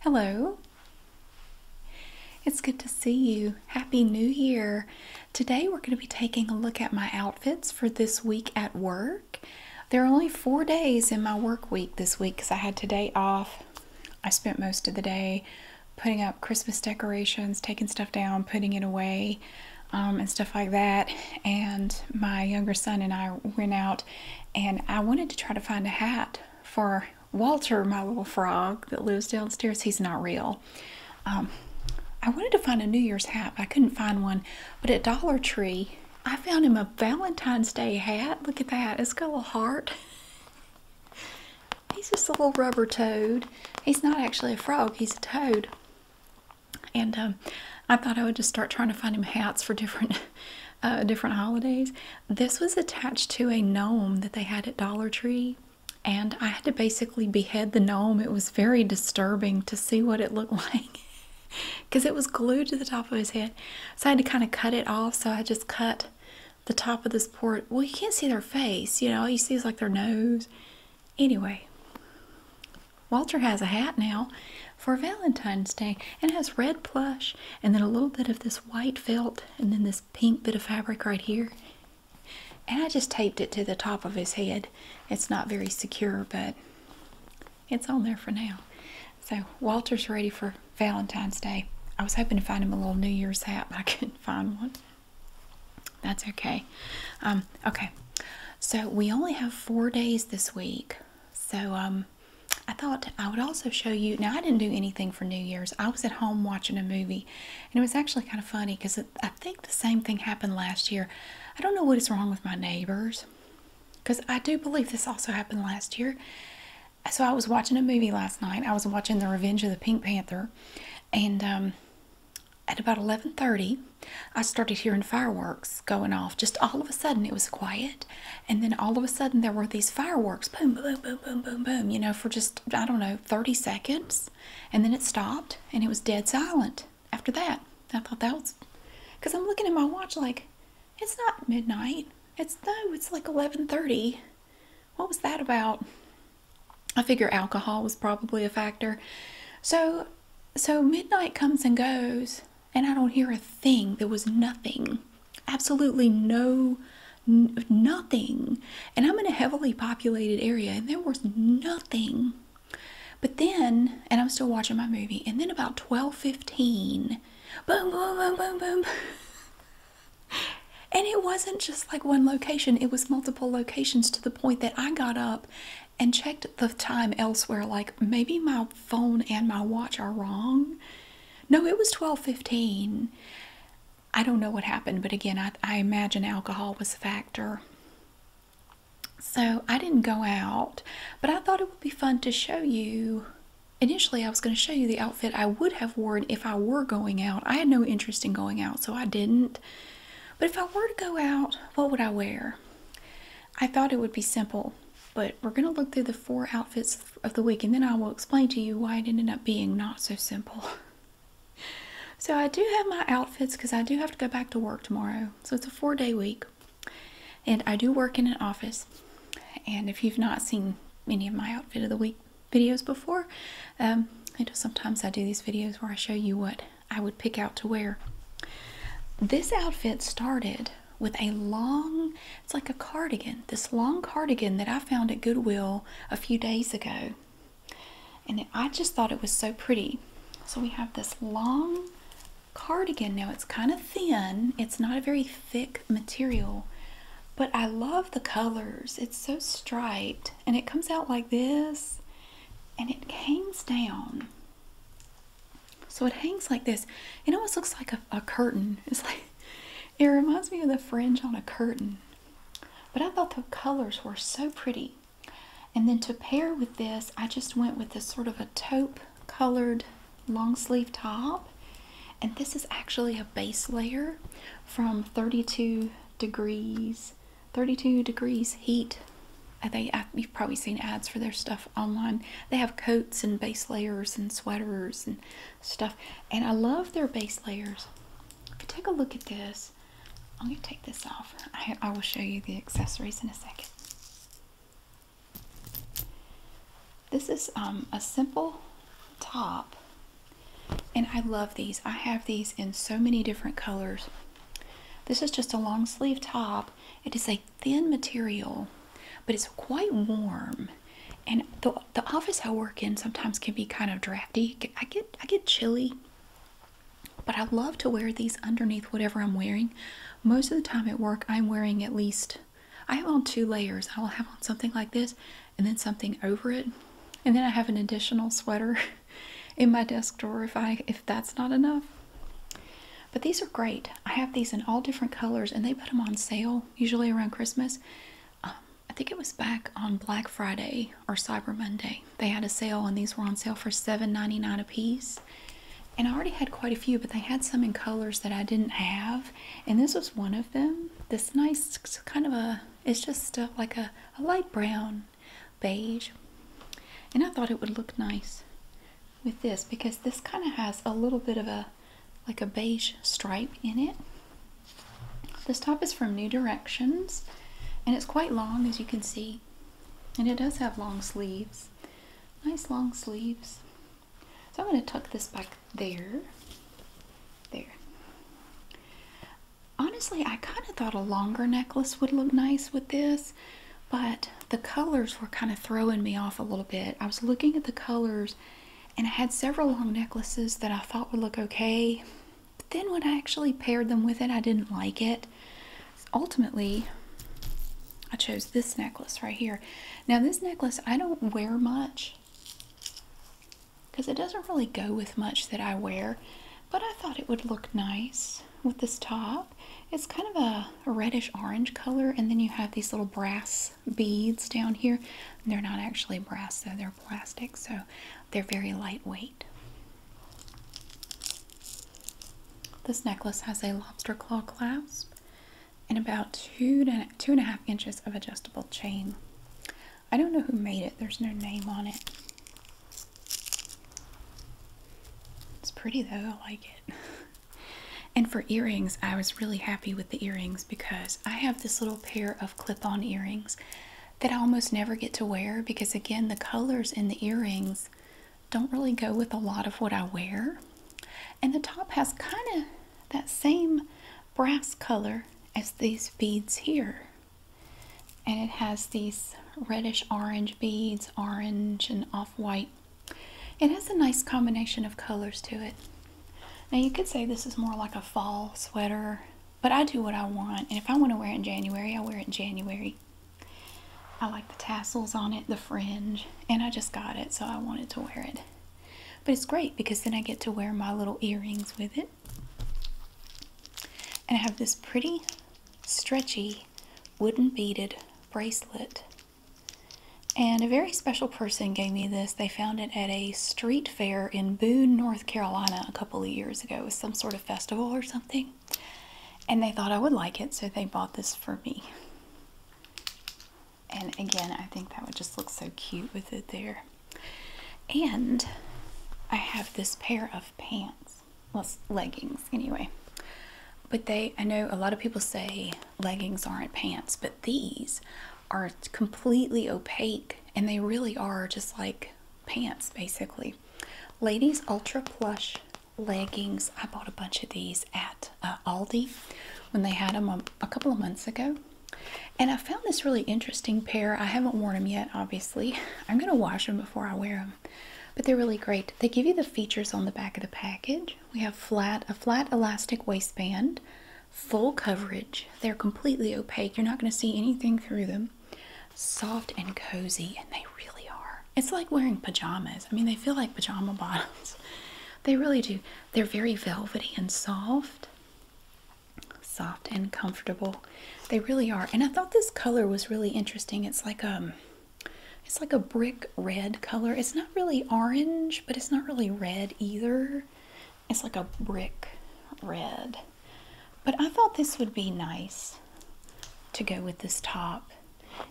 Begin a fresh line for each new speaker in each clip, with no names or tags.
Hello. It's good to see you. Happy New Year. Today we're going to be taking a look at my outfits for this week at work. There are only four days in my work week this week because I had today off. I spent most of the day putting up Christmas decorations, taking stuff down, putting it away, um, and stuff like that. And my younger son and I went out and I wanted to try to find a hat for Walter, my little frog that lives downstairs, he's not real. Um, I wanted to find a New Year's hat, I couldn't find one. But at Dollar Tree, I found him a Valentine's Day hat. Look at that, it's got a little heart. He's just a little rubber toad. He's not actually a frog, he's a toad. And um, I thought I would just start trying to find him hats for different uh, different holidays. This was attached to a gnome that they had at Dollar Tree, and I had to basically behead the gnome. It was very disturbing to see what it looked like because it was glued to the top of his head. So I had to kind of cut it off. So I just cut the top of this port. Well, you can't see their face, you know, all you see is like their nose. Anyway, Walter has a hat now for Valentine's Day and has red plush and then a little bit of this white felt and then this pink bit of fabric right here. And I just taped it to the top of his head. It's not very secure, but it's on there for now. So Walter's ready for Valentine's Day. I was hoping to find him a little New Year's hat, but I couldn't find one. That's okay. Um, okay, so we only have four days this week. So um, I thought I would also show you. Now, I didn't do anything for New Year's. I was at home watching a movie, and it was actually kind of funny because I think the same thing happened last year. I don't know what is wrong with my neighbors because I do believe this also happened last year. So, I was watching a movie last night. I was watching The Revenge of the Pink Panther, and um, at about 11.30, I started hearing fireworks going off. Just all of a sudden, it was quiet, and then all of a sudden, there were these fireworks boom, boom, boom, boom, boom, boom, you know, for just, I don't know, 30 seconds. And then it stopped and it was dead silent after that. I thought that was because I'm looking at my watch like it's not midnight. It's no, it's like 11:30. What was that about? I figure alcohol was probably a factor. So so midnight comes and goes and I don't hear a thing. There was nothing, absolutely no, nothing. And I'm in a heavily populated area, and there was nothing. But then, and I'm still watching my movie, and then about 12:15, boom, boom, boom, boom, boom. and it wasn't just like one location, it was multiple locations to the point that I got up and checked the time elsewhere, like maybe my phone and my watch are wrong. No, it was 12:15. I don't know what happened, but again, I, imagine alcohol was a factor. So I didn't go out, but I thought it would be fun to show you. Initially, I was going to show you the outfit I would have worn if I were going out. I had no interest in going out, so I didn't. But if I were to go out, what would I wear? I thought it would be simple, but we're going to look through the four outfits of the week, and then I will explain to you why it ended up being not so simple. so I do have my outfits because I do have to go back to work tomorrow. So it's a four-day week, and I do work in an office. And if you've not seen any of my outfit of the week videos before, um, sometimes I do these videos where I show you what I would pick out to wear. This outfit started with a long, it's like a cardigan, this long cardigan that I found at Goodwill a few days ago. And I just thought it was so pretty. So we have this long cardigan. Now it's kind of thin, it's not a very thick material, but I love the colors. It's so striped and it comes out like this and it hangs down. So it hangs like this. It almost looks like a, curtain. It's like it reminds me of the fringe on a curtain. But I thought the colors were so pretty. And then to pair with this, I just went with this sort of a taupe colored long sleeve top. And this is actually a base layer from 32 degrees, 32 degrees heat. Uh, I think you've probably seen ads for their stuff online. They have coats and base layers and sweaters and stuff. And I love their base layers. If you take a look at this, I'm going to take this off. I, will show you the accessories in a second. This is um, a simple top. And I love these. I have these in so many different colors. This is just a long sleeve top. It is a thin material, but it's quite warm and the the office I work in sometimes can be kind of drafty. I get I get chilly, but I love to wear these underneath whatever I'm wearing. Most of the time at work, I'm wearing at least I have on two layers. I will have on something like this, and then something over it, and then I have an additional sweater in my desk drawer if I if that's not enough. But these are great. I have these in all different colors, and they put them on sale usually around Christmas. Um, I think it was back on Black Friday or Cyber Monday. They had a sale and these were on sale for seven ninety nine dollars a piece. And I already had quite a few, but they had some in colors that I didn't have. And this was one of them. This nice kind of a, it's just like a light brown beige. And I thought it would look nice with this because this kind of has a little bit of a like a beige stripe in it. This top is from New Directions and it's quite long as you can see. And it does have long sleeves. Nice long sleeves. So I'm going to tuck this back there. There. Honestly, I kind of thought a longer necklace would look nice with this, but the colors were kind of throwing me off a little bit. I was looking at the colors and I had several long necklaces that I thought would look okay. But then when I actually paired them with it, I didn't like it. ultimately, I chose this necklace right here. Now, this necklace I don't wear much because it doesn't really go with much that I wear, but I thought it would look nice with this top. It's kind of a reddish orange color, and then you have these little brass beads down here. they're not actually brass, though, they're plastic, so they're very lightweight. This necklace has a lobster claw clasp and about two to two and a half inches of adjustable chain. I don't know who made it, there's no name on it. It's pretty though, I like it. And for earrings, I was really happy with the earrings because I have this little pair of clip on earrings that I almost never get to wear because, again, the colors in the earrings don't really go with a lot of what I wear. And the top has kind of that same brass color as these beads here. And it has these reddish orange beads, orange and off white. It has a nice combination of colors to it. Now you could say this is more like a fall sweater, but I do what I want. And if I want to wear it in January, I wear it in January. I like the tassels on it, the fringe, and I just got it, so I wanted to wear it. But it's great because then I get to wear my little earrings with it. And I have this pretty stretchy wooden beaded bracelet and a very special person gave me this. They found it at a street fair in Boone, North Carolina, a couple of years ago. with some sort of festival or something. And they thought I would like it, so they bought this for me. And again, I think that would just look so cute with it there. And I have this pair of pants. Well, leggings, anyway. But they, I know a lot of people say leggings aren't pants, but these are completely opaque and they really are just like pants basically. Ladies Ultra Plush leggings. I bought a bunch of these at uh, Aldi when they had them a, a couple of months ago. And I found this really interesting pair. I haven't worn them yet, obviously. I'm going to wash them before I wear them. But they're really great. They give you the features on the back of the package. We have flat a flat elastic waistband, full coverage. They're completely opaque. You're not going to see anything through them. Soft and cozy, and they really are. It's like wearing pajamas. I mean, they feel like pajama bottoms. They really do. They're very velvety and soft. Soft and comfortable. They really are. And I thought this color was really interesting. It's like um it's like a brick red color. It's not really orange, but it's not really red either. It's like a brick red. But I thought this would be nice to go with this top.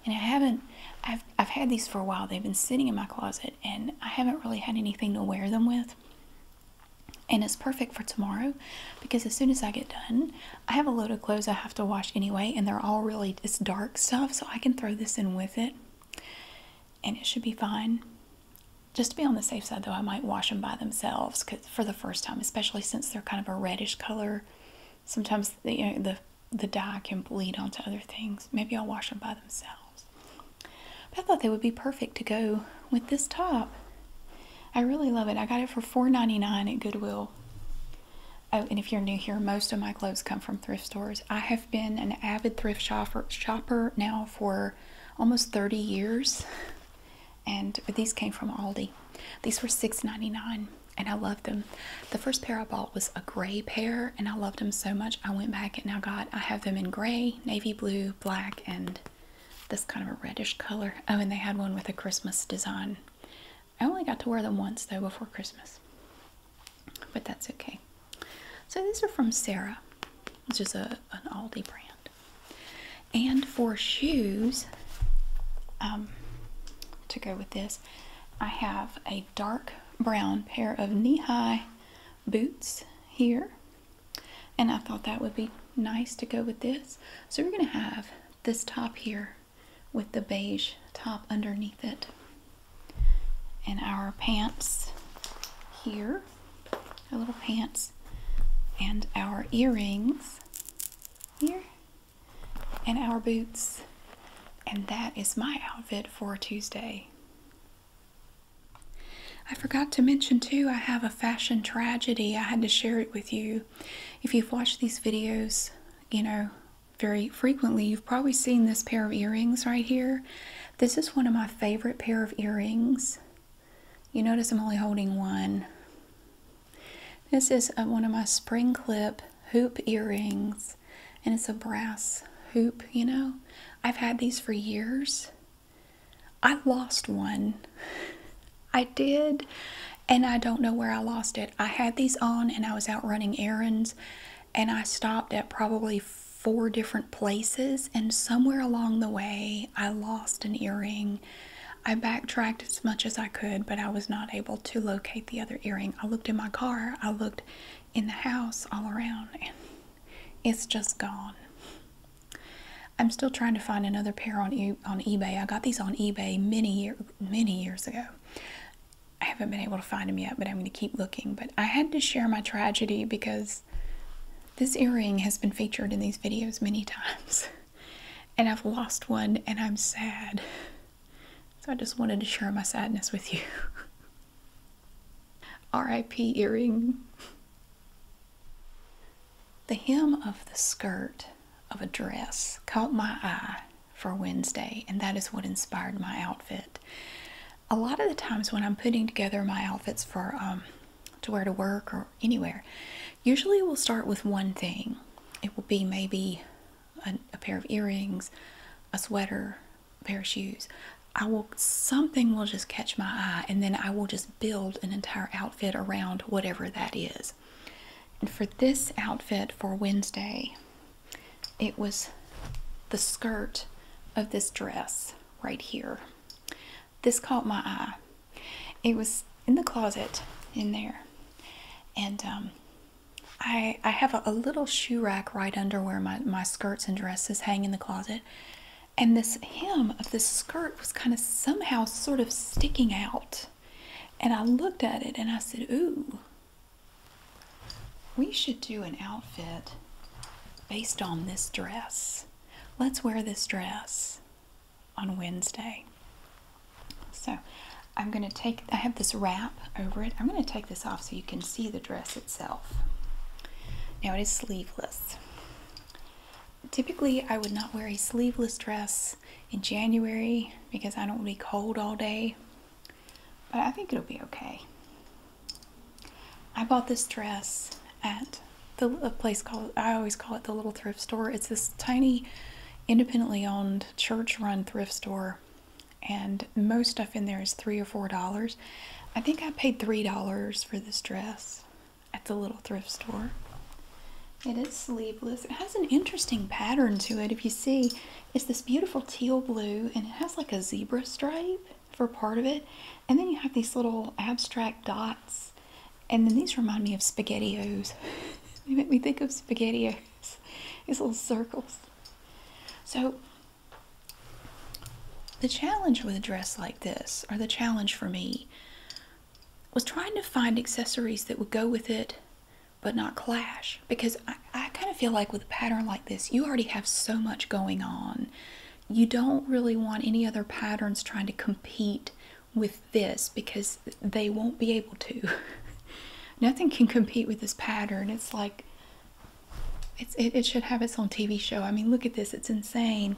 And I haven't, I've, I've had these for a while. They've been sitting in my closet and I haven't really had anything to wear them with. And it's perfect for tomorrow because as soon as I get done, I have a load of clothes I have to wash anyway and they're all really, it's dark stuff so I can throw this in with it and it should be fine. Just to be on the safe side, though, I might wash them by themselves for the first time, especially since they're kind of a reddish color. Sometimes the, the the dye can bleed onto other things. Maybe I'll wash them by themselves. I thought they would be perfect to go with this top. I really love it. I got it for $4.99 at Goodwill. Oh, and if you're new here, most of my clothes come from thrift stores. I have been an avid thrift shopper, now for almost 30 years, and these came from Aldi. These were $6.99, and I love them. The first pair I bought was a gray pair, and I loved them so much I went back and I got. I have them in gray, navy blue, black, and this kind of a reddish color. Oh, and they had one with a Christmas design. I only got to wear them once though before Christmas but that's okay. So these are from Sarah, which is a, an Aldi brand. And for shoes, um, to go with this, I have a dark brown pair of knee-high boots here. And I thought that would be nice to go with this. So we're going to have this top here with the beige top underneath it and our pants here, our little pants, and our earrings here, and our boots. And that is my outfit for Tuesday. I forgot to mention too, I have a fashion tragedy. I had to share it with you. If you've watched these videos, you know, very frequently, you've probably seen this pair of earrings right here. This is one of my favorite pair of earrings. You notice I'm only holding one. This is uh, one of my spring clip hoop earrings and it's a brass hoop, you know. I've had these for years. I lost one. I did, and I don't know where I lost it. I had these on and I was out running errands and I stopped at probably four different places, and somewhere along the way, I lost an earring. I backtracked as much as I could, but I was not able to locate the other earring. I looked in my car, I looked in the house, all around, and it's just gone. I'm still trying to find another pair on on eBay. I got these on eBay many year many years ago. I haven't been able to find them yet, but I'm going to keep looking. I had to share my tragedy because this earring has been featured in these videos many times. And I've lost one and I'm sad. So I just wanted to share my sadness with you. RIP earring. The hem of the skirt of a dress caught my eye for Wednesday, and that is what inspired my outfit a lot of the times when I'm putting together my outfits for um, to wear to work or anywhere, usually we'll start with one thing. It will be maybe a, a pair of earrings, a sweater, a pair of shoes. I will something will just catch my eye, and then I will just build an entire outfit around whatever that is. And for this outfit for Wednesday, it was the skirt of this dress right here. This caught my eye. It was in the closet in there. And um, I, I have a, a little shoe rack right under where my, my skirts and dresses hang in the closet. And this hem of this skirt was kind of somehow sort of sticking out. And I looked at it and I said, Ooh, we should do an outfit based on this dress. Let's wear this dress on Wednesday. So I'm going to take, I have this wrap over it. I'm going to take this off so you can see the dress itself. Now it is sleeveless. Typically, I would not wear a sleeveless dress in January because I don't want to be cold all day, but I think it'll be okay. I bought this dress at the a place called I always call it the little thrift store. It's this tiny independently owned church run thrift store and most stuff in there is three or four dollars. I think I paid three dollars for this dress at the little thrift store. It is sleeveless. It has an interesting pattern to it. If you see, it's this beautiful teal blue and it has like a zebra stripe for part of it. And then you have these little abstract dots. And then these remind me of SpaghettiOs. they make me think of SpaghettiOs, these little circles. So, the challenge with a dress like this, or the challenge for me, was trying to find accessories that would go with it but not clash. Because I, kind of feel like with a pattern like this, you already have so much going on you don't really want any other patterns trying to compete with this because they won't be able to. Nothing can compete with this pattern. It's like it, it should have its own TV show. I mean, look at this, it's insane.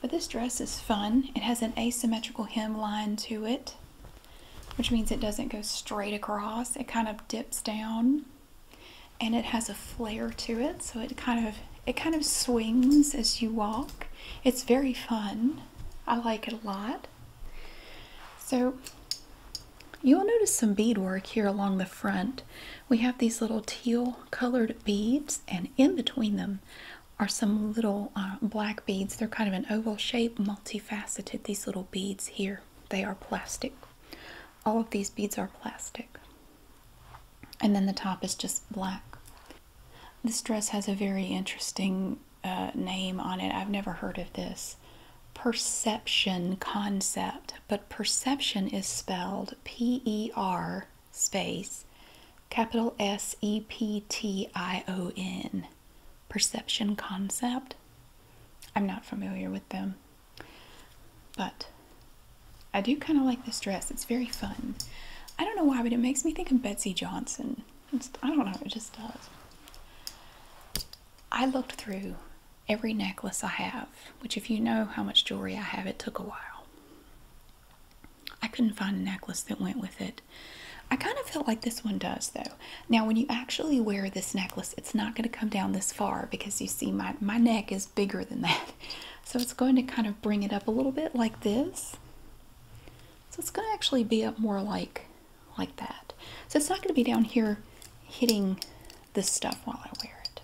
But this dress is fun. It has an asymmetrical hemline to it, which means it doesn't go straight across, it kind of dips down and it has a flare to it so it kind of it kind of swings as you walk it's very fun i like it a lot so you'll notice some beadwork here along the front we have these little teal colored beads and in between them are some little uh, black beads they're kind of an oval shape multifaceted these little beads here they are plastic all of these beads are plastic. And then the top is just black. This dress has a very interesting uh, name on it. I've never heard of this. Perception concept, but perception is spelled P E R space capital S E P T I O N. Perception concept. I'm not familiar with them. But I do kind of like this dress. It's very fun. I don't know why, but it makes me think of Betsy Johnson. It's, I don't know, it just does. I looked through every necklace I have, which if you know how much jewelry I have, it took a while. I couldn't find a necklace that went with it. I kind of felt like this one does though. Now when you actually wear this necklace, it's not going to come down this far because you see my, my neck is bigger than that. So it's going to kind of bring it up a little bit like this. So it's going to actually be up more like like that. So it's not going to be down here hitting this stuff while I wear it.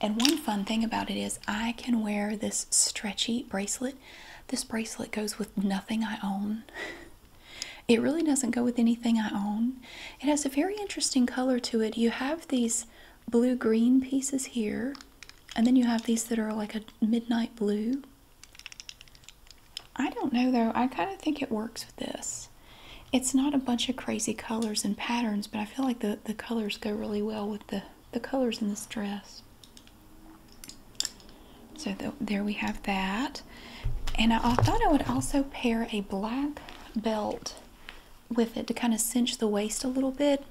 And one fun thing about it is I can wear this stretchy bracelet. This bracelet goes with nothing I own. It really doesn't go with anything I own. It has a very interesting color to it. You have these blue green pieces here, and then you have these that are like a midnight blue. I don't know though, I kind of think it works with this. It's not a bunch of crazy colors and patterns, but I feel like the, the colors go really well with the, the colors in this dress. So there we have that. And I, thought I would also pair a black belt with it to kind of cinch the waist a little bit.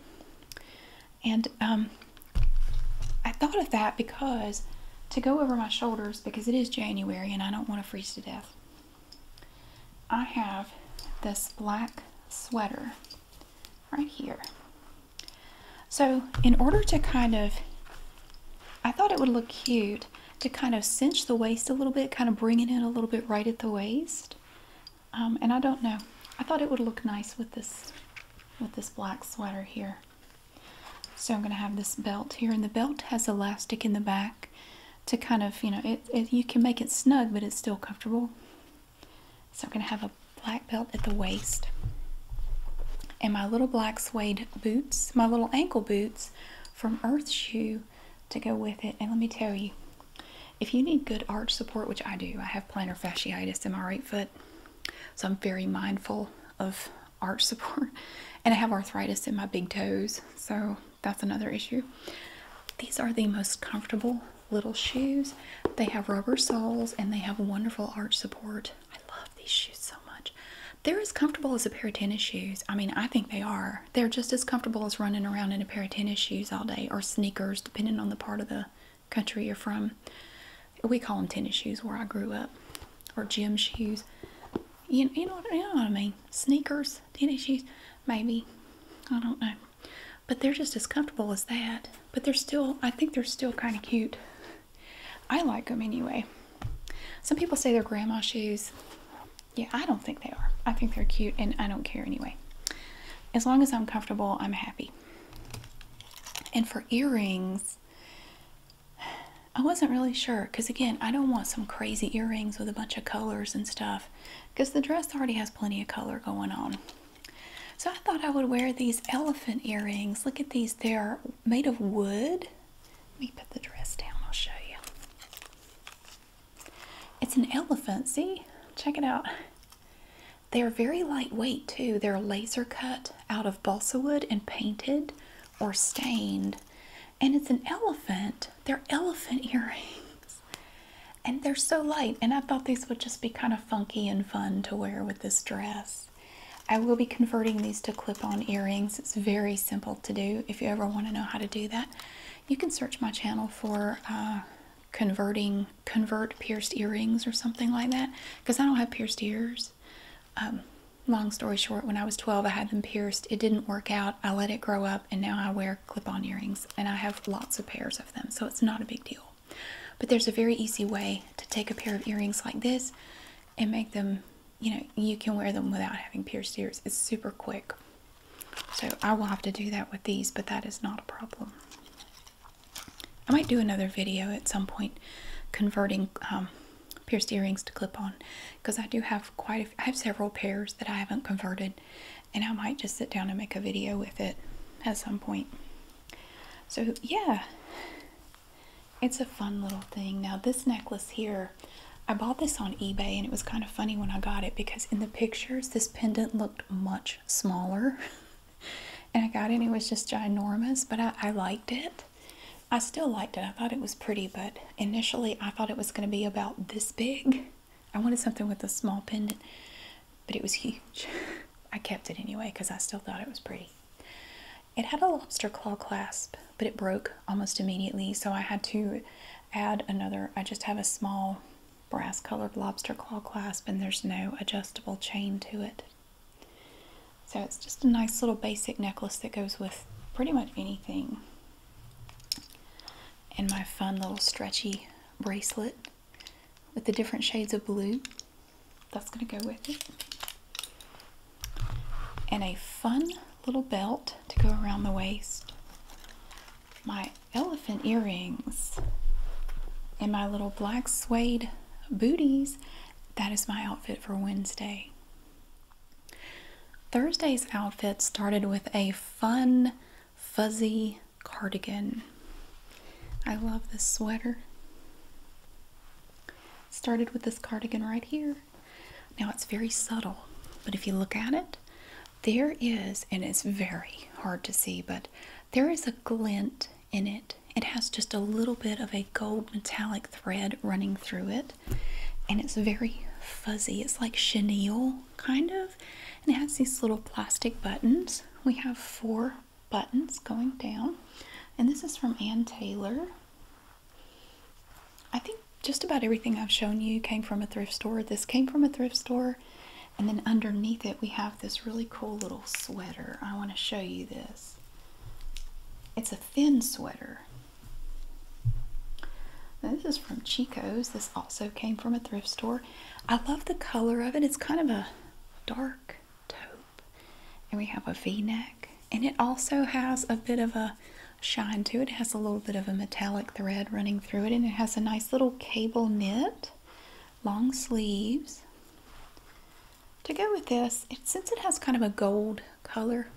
And um, I thought of that because to go over my shoulders, because it is January and I don't want to freeze to death, I have this black sweater right here. So, in order to kind of, I thought it would look cute to kind of cinch the waist a little bit, kind of bringing it a little bit right at the waist. Um, and I don't know. I thought it would look nice with this with this black sweater here. So I'm going to have this belt here, and the belt has elastic in the back to kind of, you know, it you can make it snug, but it's still comfortable. So I'm going to have a black belt at the waist. And my little black suede boots, my little ankle boots from Earth Shoe to go with it. And let me tell you, if you need good arch support, which I do, I have plantar fasciitis in my right foot, so I'm very mindful of arch support. And I have arthritis in my big toes, so that's another issue. These are the most comfortable little shoes. They have rubber soles and they have wonderful arch support. I love these shoes so much. They're as comfortable as a pair of tennis shoes. I mean, I think they are. They're just as comfortable as running around in a pair of tennis shoes all day or sneakers, depending on the part of the country you're from. We call them tennis shoes where I grew up or gym shoes. You, know, know what I mean? Sneakers, tennis shoes, maybe. I don't know. But they're just as comfortable as that. But they're still, I think they're still kind of cute. I like them anyway. Some people say they're grandma shoes. Yeah, I don't think they are. I think they're cute and I don't care anyway. As long as I'm comfortable, I'm happy. And for earrings, I wasn't really sure because again, I don't want some crazy earrings with a bunch of colors and stuff because the dress already has plenty of color going on. So I thought I would wear these elephant earrings. Look at these. They're made of wood. Let me put the dress down, I'll show you. It's an elephant, see? Check it out. They're very lightweight too. They're laser cut out of balsa wood and painted or stained. And it's an elephant. They're elephant earrings. And they're so light. And I thought these would just be kind of funky and fun to wear with this dress. I will be converting these to clip on earrings. It's very simple to do. If you ever want to know how to do that, you can search my channel for uh, converting convert pierced earrings or something like that. Because I don't have pierced ears. Um, long story short, when I was 12, I had them pierced. It didn't work out. I let it grow up, and now I wear clip-on earrings, and I have lots of pairs of them. So it's not a big deal. But there's a very easy way to take a pair of earrings like this and make them you know, you can wear them without having pierced ears. It's super quick. So I will have to do that with these, but that is not a problem. I might do another video at some point converting um, pierced earrings to clip-on because I do have quite I have several pairs that I haven't converted and I might just sit down and make a video with it at some point. So yeah, it's a fun little thing. Now this necklace here I bought this on eBay and it was kind of funny when I got it because in the pictures this pendant looked much smaller. and I got it and it was just ginormous, but I liked it. I still liked it. I thought it was pretty, but initially I thought it was going to be about this big. I wanted something with a small pendant, but it was huge. I kept it anyway because I still thought it was pretty. It had a lobster claw clasp but it broke almost immediately, so I had to add another. I just have a small brass colored lobster claw clasp, and there's no adjustable chain to it. So it's just a nice little basic necklace that goes with pretty much anything. And my fun little stretchy bracelet with the different shades of blue. That's going to go with it. And a fun little belt to go around the waist, my elephant earrings, and my little black suede booties. That is my outfit for Wednesday. Thursday's outfit started with a fun, fuzzy cardigan. I love this sweater. Started with this cardigan right here. Now it's very subtle, but if you look at it, there is, and it's very hard to see, but there is a glint in it. It has just a little bit of a gold metallic thread running through it, and it's very fuzzy. It's like chenille, kind of, and it has these little plastic buttons. We have four buttons going down, and this is from Ann Taylor. I think just about everything I've shown you came from a thrift store. This came from a thrift store, and then underneath it, we have this really cool little sweater. I want to show you this. It's a thin sweater. this is from Chico's. This also came from a thrift store. I love the color of it. It's kind of a dark taupe. And we have a v-neck. And it also has a bit of a shine to it. has a little bit of a metallic thread running through it, and it has a nice little cable knit, long sleeves. To go with this, since it has kind of a gold color,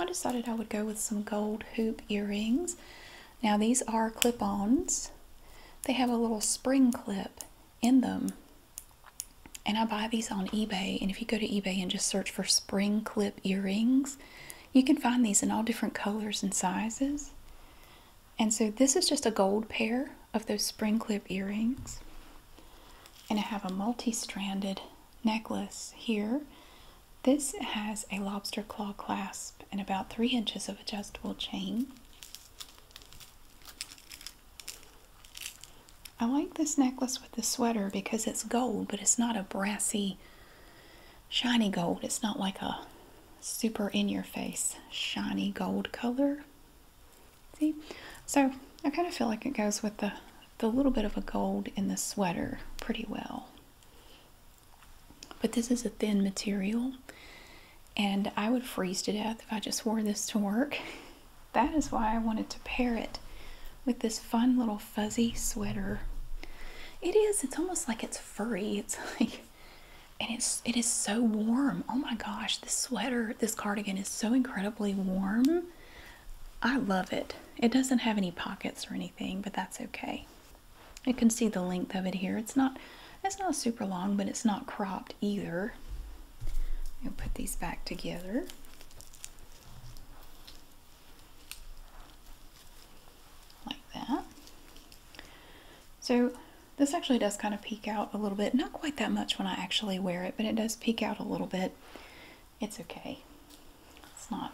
I decided I would go with some gold hoop earrings. Now, these are clip ons, they have a little spring clip in them. And I buy these on eBay. And if you go to eBay and just search for spring clip earrings, you can find these in all different colors and sizes. And so this is just a gold pair of those spring clip earrings. And I have a multi-stranded necklace here. This has a lobster claw clasp and about three inches of adjustable chain. I like this necklace with the sweater because it's gold, but it's not a brassy shiny gold. It's not like a super in your face shiny gold color. See? So I kind of feel like it goes with the, the little bit of a gold in the sweater pretty well. But this is a thin material and I would freeze to death if I just wore this to work. That is why I wanted to pair it with this fun little fuzzy sweater. It is. It's almost like it's furry. It's like, and it's it is so warm. Oh my gosh, this sweater, this cardigan is so incredibly warm. I love it. It doesn't have any pockets or anything, but that's okay. You can see the length of it here. It's not it's not super long, but it's not cropped either. we will put these back together like that. So this actually does kind of peek out a little bit. Not quite that much when I actually wear it, but it does peek out a little bit. It's okay. It's not,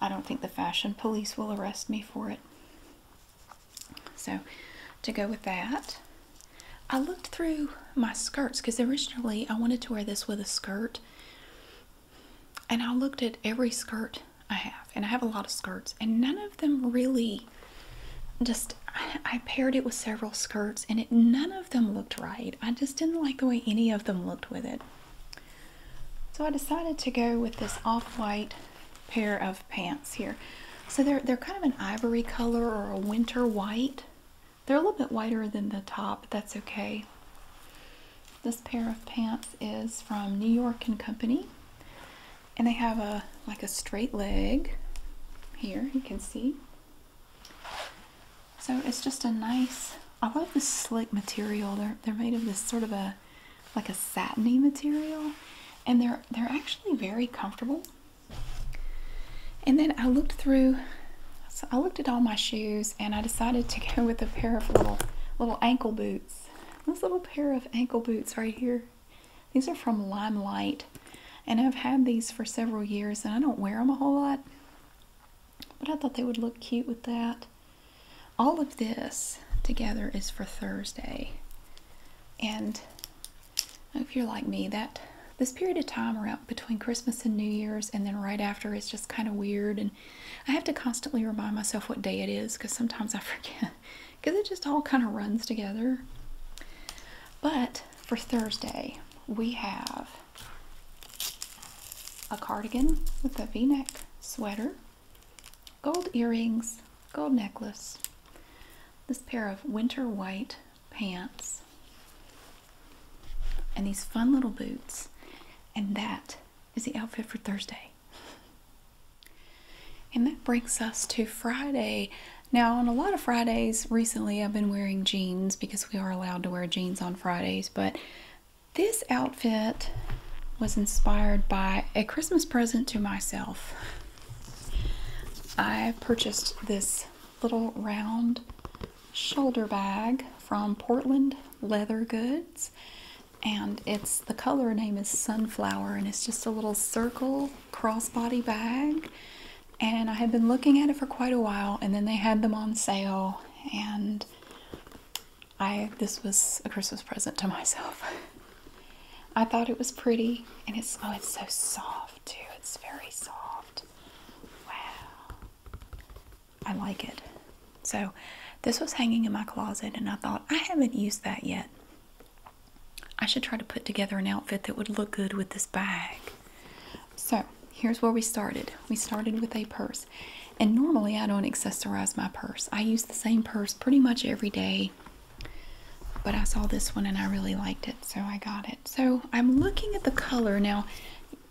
I don't think the fashion police will arrest me for it. So to go with that, I looked through my skirts because originally I wanted to wear this with a skirt and I looked at every skirt I have, and I have a lot of skirts, and none of them really just I, paired it with several skirts, and none of them looked right. I just didn't like the way any of them looked with it. So I decided to go with this off-white pair of pants here. So they're they're kind of an ivory color or a winter white. They're a little bit whiter than the top, but that's okay. This pair of pants is from New York and Company. And they have a like a straight leg here, you can see. So it's just a nice, I love this slick material. They're they're made of this sort of a like a satiny material. And they're they're actually very comfortable. And then I looked through so I looked at all my shoes and I decided to go with a pair of little little ankle boots. This little pair of ankle boots right here. These are from Limelight and I've had these for several years and I don't wear them a whole lot. But I thought they would look cute with that. All of this together is for Thursday. And if you're like me, that this period of time around between Christmas and New Year's and then right after is just kind of weird and I have to constantly remind myself what day it is because sometimes I forget because it just all kind of runs together. But for Thursday, we have a cardigan with a v neck sweater, gold earrings, gold necklace, this pair of winter white pants, and these fun little boots. And that is the outfit for Thursday. And that brings us to Friday. Now, on a lot of Fridays recently, I've been wearing jeans because we are allowed to wear jeans on Fridays, but this outfit was inspired by a Christmas present to myself. I purchased this little round shoulder bag from Portland Leather Goods. And it's the color name is Sunflower, and it's just a little circle crossbody bag. And I had been looking at it for quite a while, and then they had them on sale, and I this was a Christmas present to myself. I thought it was pretty, and it's oh, it's so soft too. It's very soft. Wow, I like it. So this was hanging in my closet and I thought I haven't used that yet. I should try to put together an outfit that would look good with this bag. So here's where we started. We started with a purse. And normally I don't accessorize my purse. I use the same purse pretty much every day. But I saw this one and I really liked it, so I got it. So I'm looking at the color. Now,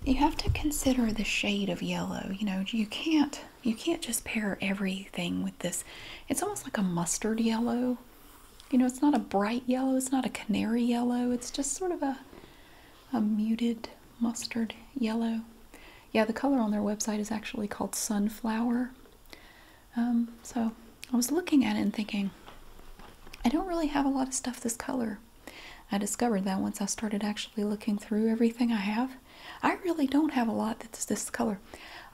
you have to consider the shade of yellow. You know, you can't you can't just pair everything with this. It's almost like a mustard yellow. You know, it's not a bright yellow, it's not a canary yellow. It's just sort of a a muted mustard yellow. Yeah, the color on their website is actually called sunflower. Um, so I was looking at it and thinking, I don't really have a lot of stuff this color. I discovered that once I started actually looking through everything I have. I really don't have a lot that's this color.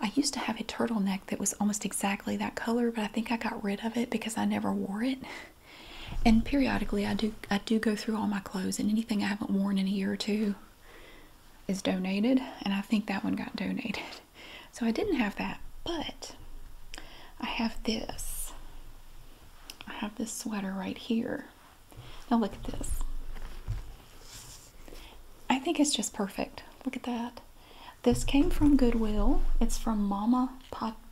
I used to have a turtleneck that was almost exactly that color, but I think I got rid of it because I never wore it. And periodically I do I do go through all my clothes and anything I haven't worn in a year or two is donated, and I think that one got donated. So I didn't have that, but I have this. I have this sweater right here now oh, look at this. I think it's just perfect. Look at that. This came from Goodwill. It's from Mama,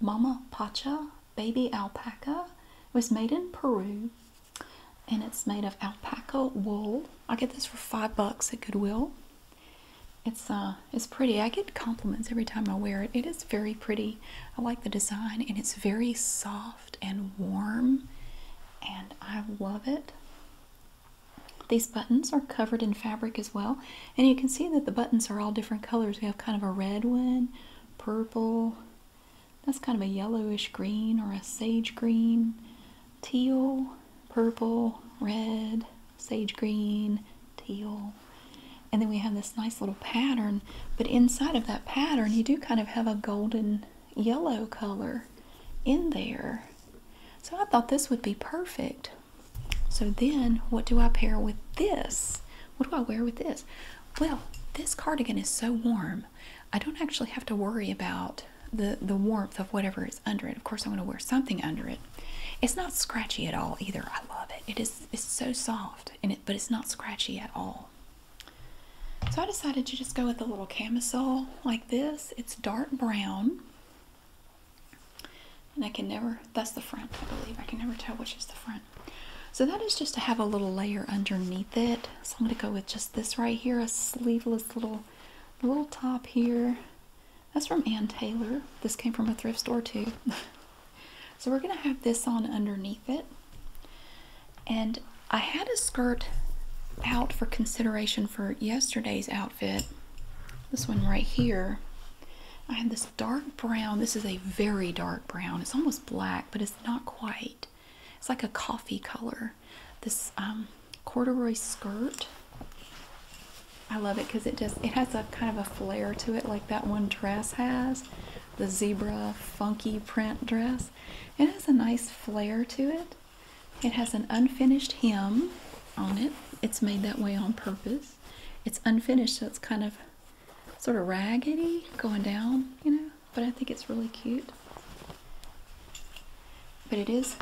Mama Pacha Baby Alpaca. It was made in Peru and it's made of alpaca wool. I get this for five bucks at Goodwill. It's uh, it's pretty. I get compliments every time I wear it. It is very pretty. I like the design and it's very soft and warm, and I love it. These buttons are covered in fabric as well, and you can see that the buttons are all different colors. We have kind of a red one, purple, that's kind of a yellowish green or a sage green, teal, purple, red, sage green, teal. And then we have this nice little pattern, but inside of that pattern, you do kind of have a golden yellow color in there. So I thought this would be perfect. So then, what do I pair with this? What do I wear with this? Well, this cardigan is so warm. I don't actually have to worry about the, the warmth of whatever is under it. Of course, I'm going to wear something under it. It's not scratchy at all either. I love it. It is it's so soft, and it, but it's not scratchy at all. So I decided to just go with a little camisole like this. It's dark brown. And I can never, that's the front, I believe. I can never tell which is the front. So that is just to have a little layer underneath it. So I'm going to go with just this right here, a sleeveless little, little top here. That's from Ann Taylor. This came from a thrift store too. So we're going to have this on underneath it. And I had a skirt out for consideration for yesterday's outfit. This one right here. I have this dark brown. This is a very dark brown. It's almost black, but it's not quite. It's like a coffee color. This um, corduroy skirt. I love it because it does. it has a kind of a flare to it like that one dress has the zebra funky print dress. It has a nice flare to it. It has an unfinished hem on it. It's made that way on purpose. It's unfinished, so it's kind of sort of raggedy going down, you know, but I think it's really cute. But it is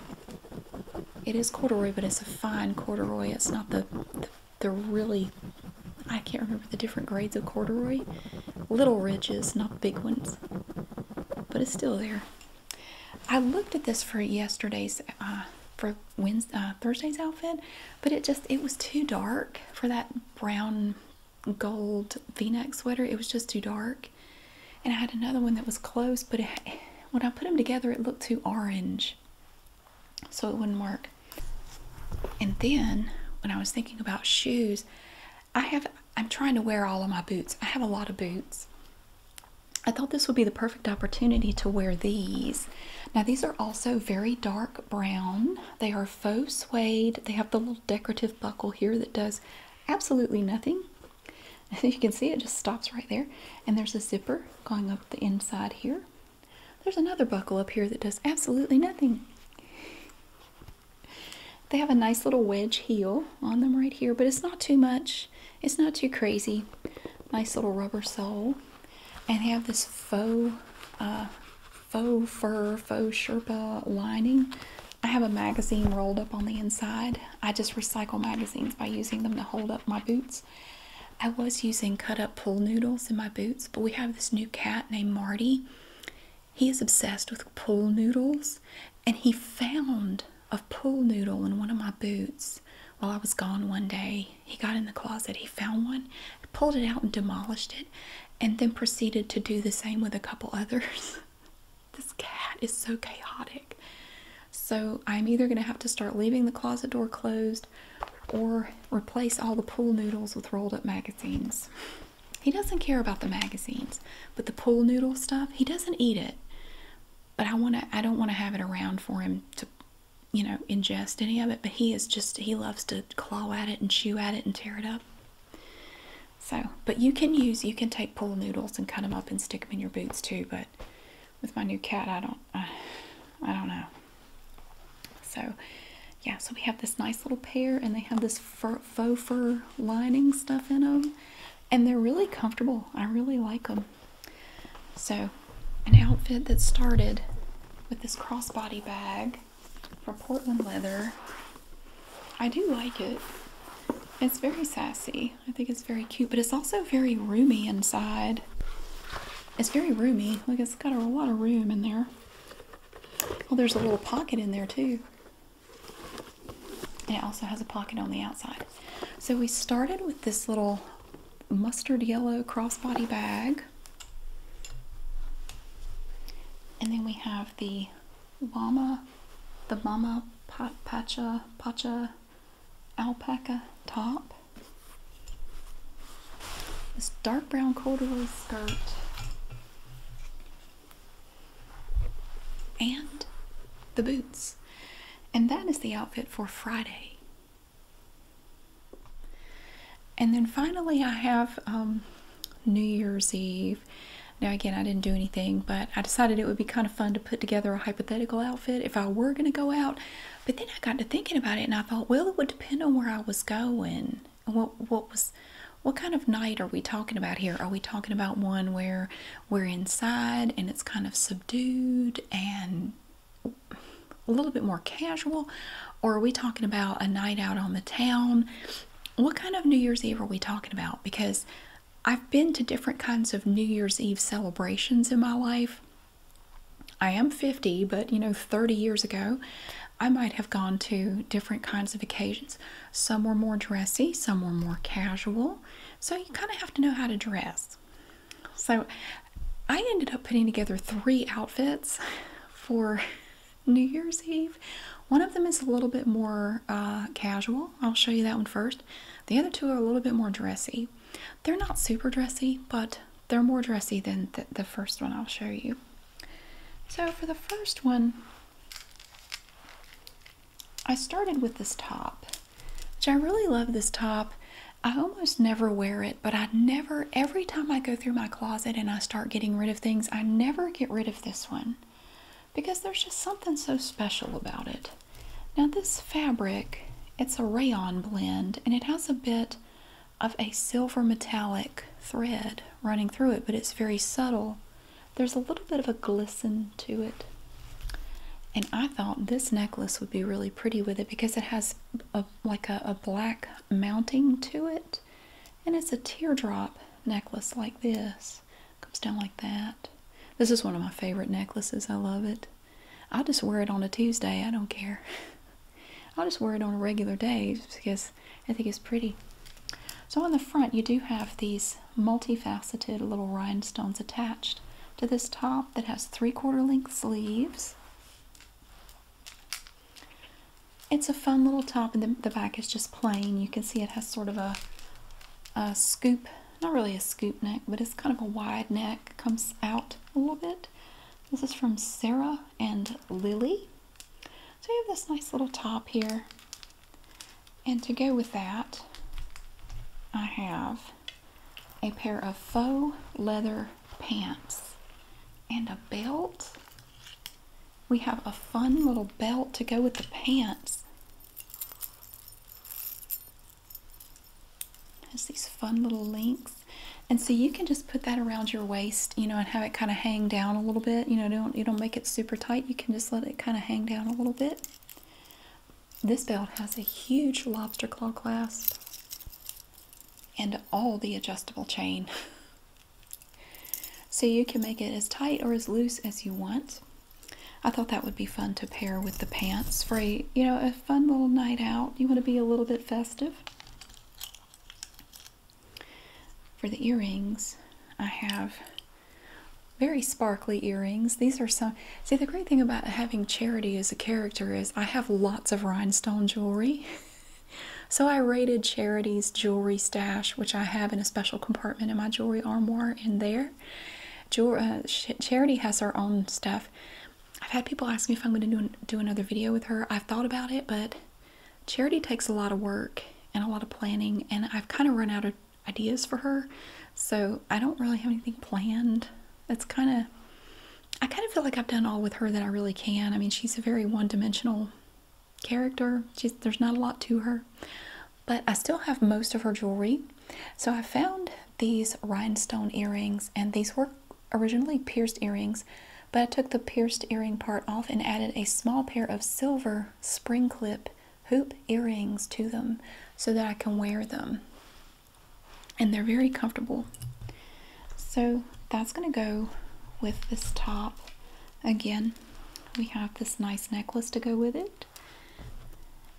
it is corduroy, but it's a fine corduroy. It's not the the, the really I can't remember the different grades of corduroy. Little ridges, not big ones. But it's still there. I looked at this for yesterday's, uh, for Wednesday's, uh, Thursday's outfit, but it just, it was too dark for that brown gold v-neck sweater. It was just too dark. And I had another one that was close, but when I put them together, it looked too orange. So it wouldn't work. And then when I was thinking about shoes, I have I'm trying to wear all of my boots. I have a lot of boots. I thought this would be the perfect opportunity to wear these. Now these are also very dark brown. They are faux suede. They have the little decorative buckle here that does absolutely nothing. As you can see, it just stops right there. And there's a zipper going up the inside here. There's another buckle up here that does absolutely nothing. They have a nice little wedge heel on them right here, but it's not too much. It's not too crazy. Nice little rubber sole. And have this faux, uh, faux fur, faux Sherpa lining. I have a magazine rolled up on the inside. I just recycle magazines by using them to hold up my boots. I was using cut up pool noodles in my boots, but we have this new cat named Marty. He is obsessed with pool noodles, and he found a pool noodle in one of my boots while I was gone one day. He got in the closet, he found one, pulled it out, and demolished it, and then proceeded to do the same with a couple others. this cat is so chaotic. So, I'm either going to have to start leaving the closet door closed or replace all the pool noodles with rolled up magazines. He doesn't care about the magazines, but the pool noodle stuff, he doesn't eat it. But I want to I don't want to have it around for him to you know, ingest any of it, but he is just he loves to claw at it and chew at it and tear it up. So, but you can use you can take pool noodles and cut them up and stick them in your boots too, but with my new cat, I don't I, I don't know. So, yeah, so we have this nice little pair, and they have this faux fur lining stuff in them, and they're really comfortable. I really like them. So, an outfit that started with this crossbody bag from Portland Leather. I do like it. It's very sassy. I think it's very cute, but it's also very roomy inside. It's very roomy. Like it's got a lot of room in there. Oh, there's a little pocket in there too. it also has a pocket on the outside. So we started with this little mustard yellow crossbody bag. And then we have the llama, the mama pacha, pacha alpaca top. This dark brown corduroy skirt and the boots. And that is the outfit for Friday. And then finally, I have um, New Year's Eve. Now, again, I didn't do anything, but I decided it would be kind of fun to put together a hypothetical outfit if I were going to go out. But then I got to thinking about it and I thought, well, it would depend on where I was going. What what was what kind of night are we talking about here? Are we talking about one where we're inside and it's kind of subdued and a little bit more casual? Or are we talking about a night out on the town? What kind of New Year's Eve are we talking about? Because I've been to different kinds of New Year's Eve celebrations in my life. I am 50, but you know, 30 years ago, I might have gone to different kinds of occasions. Some were more dressy, some were more casual. So you kind of have to know how to dress. So I ended up putting together three outfits for New Year's Eve. One of them is a little bit more uh, casual. I'll show you that one first. The other two are a little bit more dressy. They're not super dressy, but they're more dressy than the first one I'll show you. So for the first one, I started with this top, which I really love this top. I almost never wear it, but I never, every time I go through my closet and I start getting rid of things, I never get rid of this one because there's just something so special about it. Now this fabric, it's a rayon blend and it has a bit of a silver metallic thread running through it, but it's very subtle. There's a little bit of a glisten to it. And I thought this necklace would be really pretty with it because it has a, like a, black mounting to it. And it's a teardrop necklace like this. Comes down like that. This is one of my favorite necklaces. I love it. i just wear it on a Tuesday. I don't care. i just wear it on a regular day because I think it's pretty. So on the front, you do have these multifaceted little rhinestones attached to this top that has three-quarter length sleeves. It's a fun little top, and the, the back is just plain. You can see it has sort of a, a scoop, not really a scoop neck, but it's kind of a wide neck, comes out a little bit. This is from Sarah and Lily. So we have this nice little top here. And to go with that, I have a pair of faux leather pants and a belt. We have a fun little belt to go with the pants. Has these fun little links. And so you can just put that around your waist, you know, and have it kind of hang down a little bit. You know, don't you don't make it super tight. You can just let it kind of hang down a little bit. This belt has a huge lobster claw clasp and all the adjustable chain. so you can make it as tight or as loose as you want. I thought that would be fun to pair with the pants for a, you know, a fun little night out. You want to be a little bit festive. For the earrings, I have very sparkly earrings. These are some, see the great thing about having charity as a character is I have lots of rhinestone jewelry. so I raided charity's jewelry stash, which I have in a special compartment in my jewelry armoire in there. Jewel, uh, charity has her own stuff. I've had people ask me if I'm going to do, do another video with her. I've thought about it, but Charity takes a lot of work and a lot of planning, and I've kind of run out of ideas for her, so I don't really have anything planned. It's kind of, I kind of feel like I've done all with her that I really can. I mean, she's a very one dimensional character, there's not a lot to her, but I still have most of her jewelry. So I found these rhinestone earrings, and these were originally pierced earrings but I took the pierced earring part off and added a small pair of silver spring clip hoop earrings to them so that I can wear them. And they're very comfortable. So that's going to go with this top. Again, we have this nice necklace to go with it.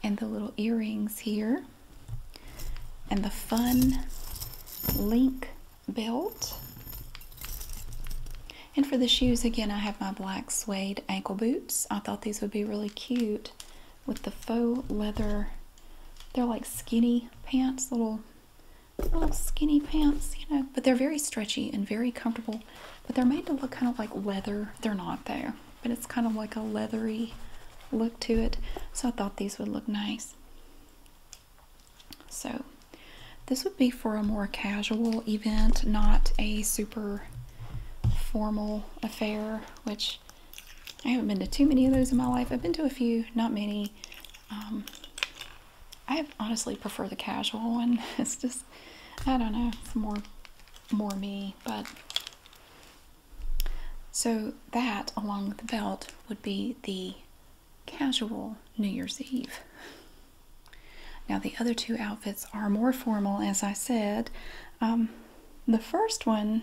And the little earrings here. And the fun link belt. And for the shoes, again, I have my black suede ankle boots. I thought these would be really cute with the faux leather. They're like skinny pants, little little skinny pants, you know, but they're very stretchy and very comfortable. But they're made to look kind of like leather. They're not there, but it's kind of like a leathery look to it. So I thought these would look nice. So this would be for a more casual event, not a super formal affair, which I haven't been to too many of those in my life. I've been to a few, not many. Um, I honestly prefer the casual one. It's just, I don't know, it's more, more me, but so that along the belt would be the casual New Year's Eve. Now, the other two outfits are more formal, as I said. Um, the first one,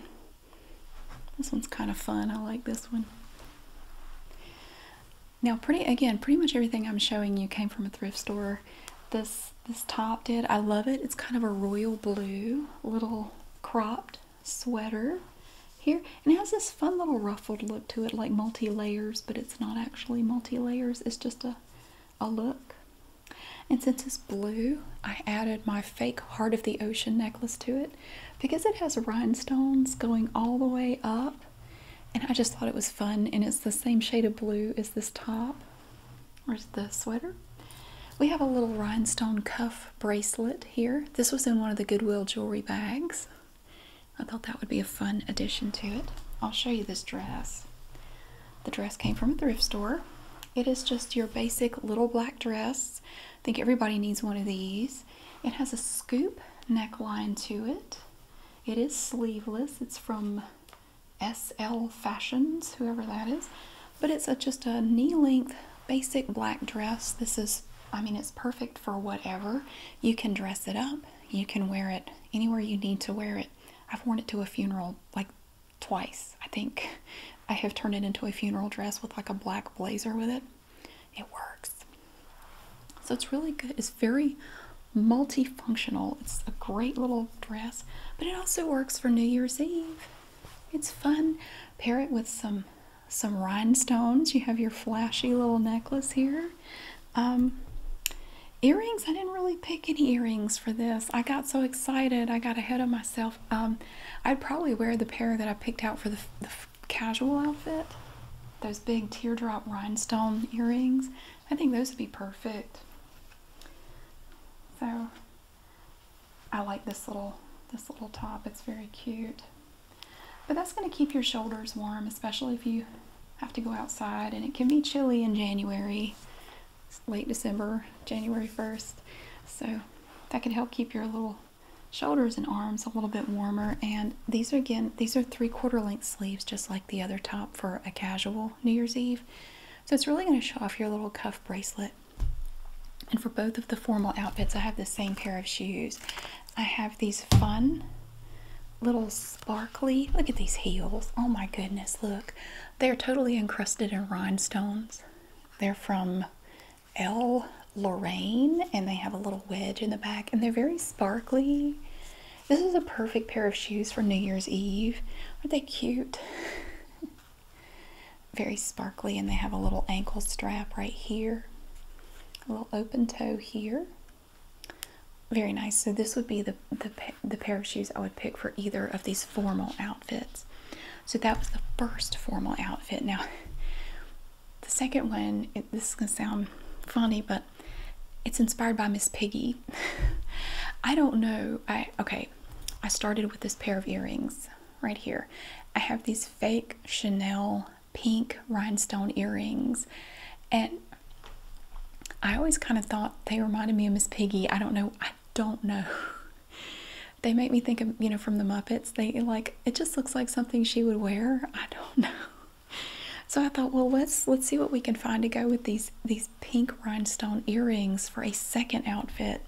this one's kind of fun. I like this one. Now, pretty again, pretty much everything I'm showing you came from a thrift store. This this top did. I love it. It's kind of a royal blue little cropped sweater. Here, and it has this fun little ruffled look to it like multi layers but it's not actually multi layers it's just a a look and since it's blue i added my fake heart of the ocean necklace to it because it has rhinestones going all the way up and i just thought it was fun and it's the same shade of blue as this top where's the sweater we have a little rhinestone cuff bracelet here this was in one of the goodwill jewelry bags I thought that would be a fun addition to it. I'll show you this dress. The dress came from a thrift store. It is just your basic little black dress. I think everybody needs one of these. It has a scoop neckline to it. It is sleeveless. It's from SL Fashions, whoever that is. But it's just a knee-length basic black dress. This is, I mean, it's perfect for whatever. You can dress it up you can wear it anywhere you need to wear it. I've worn it to a funeral like twice, I think. I have turned it into a funeral dress with like a black blazer with it. It works. So it's really good. It's very multifunctional. It's a great little dress, but it also works for New Year's Eve. It's fun. Pair it with some some rhinestones. You have your flashy little necklace here. Um, earrings, I didn't really pick any earrings for this. I got so excited, I got ahead of myself. Um, I'd probably wear the pair that I picked out for the, the casual outfit. Those big teardrop rhinestone earrings. I think those would be perfect. So I like this little this little top. It's very cute. But that's going to keep your shoulders warm, especially if you have to go outside and it can be chilly in January, late December, January 1st. So that could help keep your little shoulders and arms a little bit warmer. And these are again, these are three quarter length sleeves, just like the other top for a casual New Year's Eve. So it's really going to show off your little cuff bracelet. And for both of the formal outfits, I have the same pair of shoes. I have these fun little sparkly. Look at these heels. Oh my goodness, look. They're totally encrusted in rhinestones. They're from L. Lorraine and they have a little wedge in the back and they're very sparkly. This is a perfect pair of shoes for New Year's Eve. Aren't they cute? very sparkly and they have a little ankle strap right here. A little open toe here. Very nice. So this would be the, the, pair of shoes I would pick for either of these formal outfits. So that was the first formal outfit. Now, the second one, this is going to sound funny, but it's inspired by Miss Piggy. I don't know. I okay. I started with this pair of earrings right here. I have these fake Chanel pink rhinestone earrings. And I always kind of thought they reminded me of Miss Piggy. I don't know. I don't know. They make me think of, you know, from the Muppets. They like, it just looks like something she would wear. I don't know. So I thought, well, let's let's see what we can find to go with these these pink rhinestone earrings for a second outfit.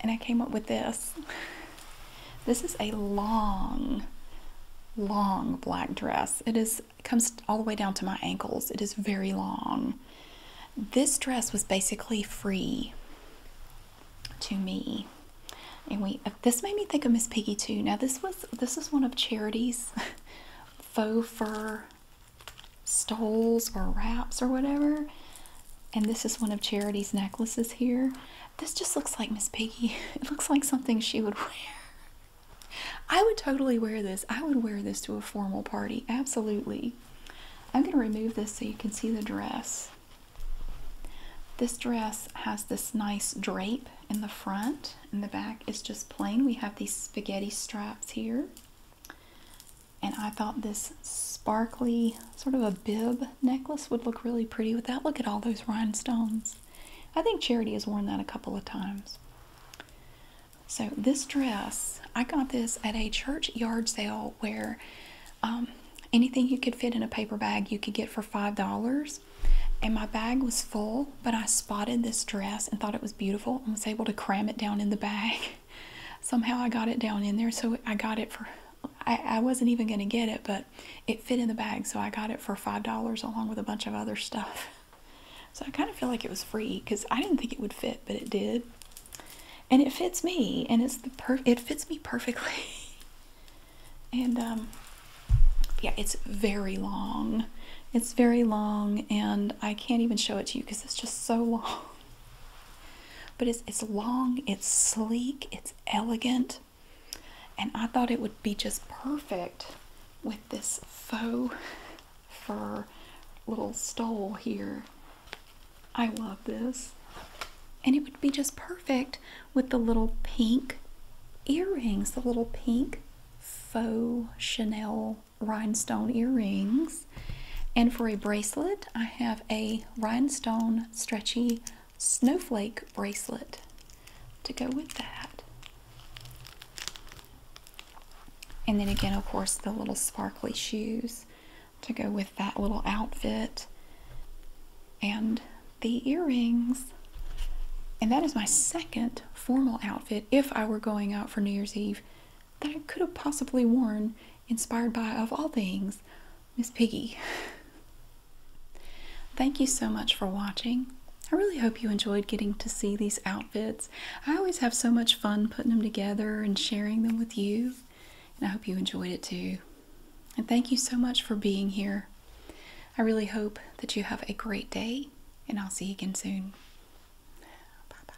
And I came up with this. This is a long, long black dress. It is comes all the way down to my ankles. It is very long. This dress was basically free to me. And we this made me think of Miss Piggy too. Now this was this is one of Charity's faux fur stoles or wraps or whatever. And this is one of Charity's necklaces here. This just looks like Miss Piggy. It looks like something she would wear. I would totally wear this. I would wear this to a formal party. Absolutely. I'm going to remove this so you can see the dress. This dress has this nice drape in the front, and the back is just plain. We have these spaghetti straps here. And I thought this sparkly, sort of a bib necklace would look really pretty with that. Look at all those rhinestones. I think Charity has worn that a couple of times. So this dress, I got this at a church yard sale where um, anything you could fit in a paper bag you could get for five dollars. And my bag was full, but I spotted this dress and thought it was beautiful and was able to cram it down in the bag. Somehow I got it down in there, so I got it for. I wasn't even going to get it, but it fit in the bag, so I got it for five dollars along with a bunch of other stuff. So I kind of feel like it was free because I didn't think it would fit, but it did, and it fits me, and it's the per it fits me perfectly. and um, yeah, it's very long. It's very long, and I can't even show it to you because it's just so long. But it's it's long, it's sleek, it's elegant and I thought it would be just perfect with this faux fur little stole here. I love this. And it would be just perfect with the little pink earrings, the little pink faux Chanel rhinestone earrings. And for a bracelet, I have a rhinestone stretchy snowflake bracelet to go with that. And then again, of course, the little sparkly shoes to go with that little outfit and the earrings. And that is my second formal outfit if I were going out for New Year's Eve that I could have possibly worn, inspired by, of all things, Miss Piggy. Thank you so much for watching. I really hope you enjoyed getting to see these outfits. I always have so much fun putting them together and sharing them with you, and I hope you enjoyed it too. And thank you so much for being here. I really hope that you have a great day, and I'll see you again soon. Bye bye.